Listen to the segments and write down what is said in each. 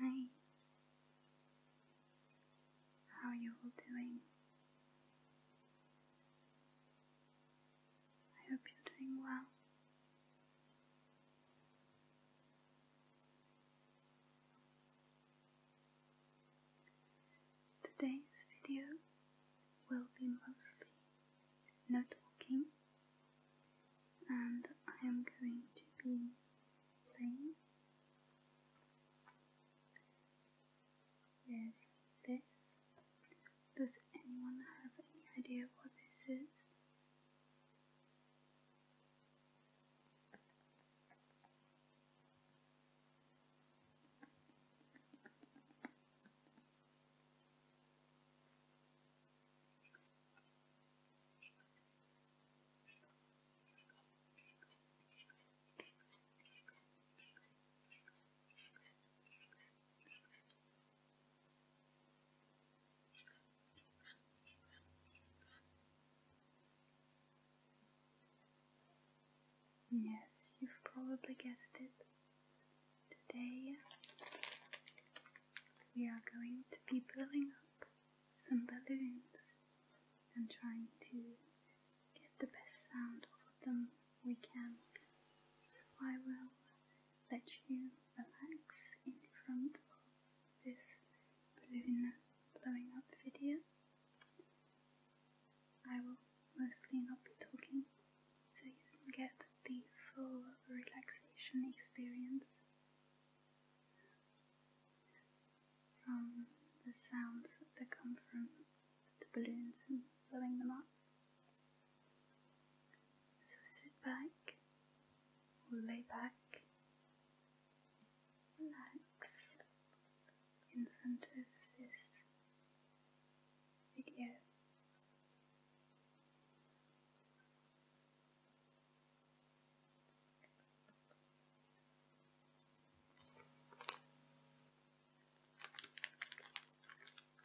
Hi. How are you all doing? I hope you're doing well. Today's video will be mostly no and I am going to be playing with this does anyone have any idea what this is? Yes, you've probably guessed it. Today we are going to be blowing up some balloons and trying to get the best sound out of them we can. So I will let you relax in front of this balloon blowing up video. I will mostly not be talking so you can get the full relaxation experience from the sounds that come from the balloons and blowing them up. So sit back or lay back, relax in front of this video.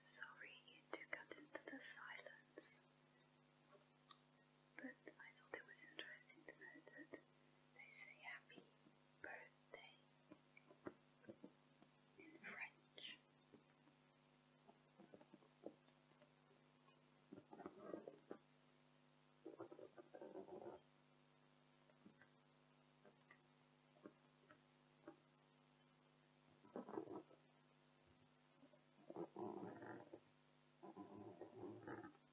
Sorry to cut into the silence, but I thought it was interesting to note that they say happy birthday in French.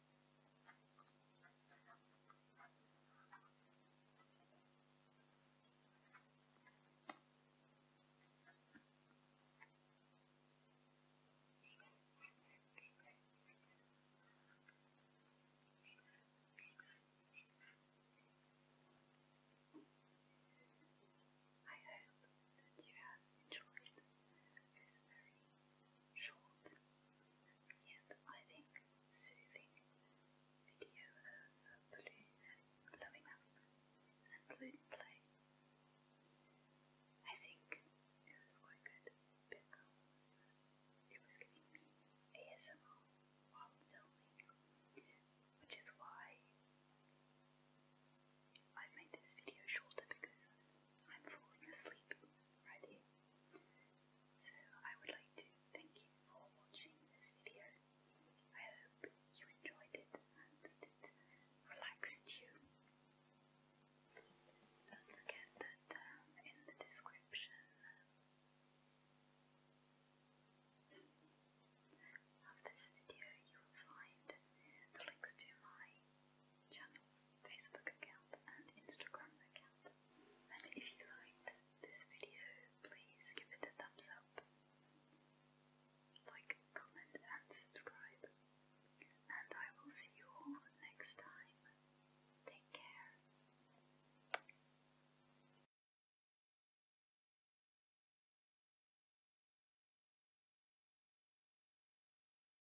I hope that you have enjoyed this very short, yet I think soothing video of blue, blowing up and balloon play. I think it was quite good it was giving me ASMR while filming, which is why I've made this video shorter because I'm falling asleep already. So I would like to thank you for watching this video. I hope you enjoyed it and it relaxed you. Don't forget that um, in the description um, of this video you will find the links to my channels, Facebook account and Instagram account. And if you liked this video, please give it a thumbs up, like, comment and subscribe. And I will see you all next time. Take care.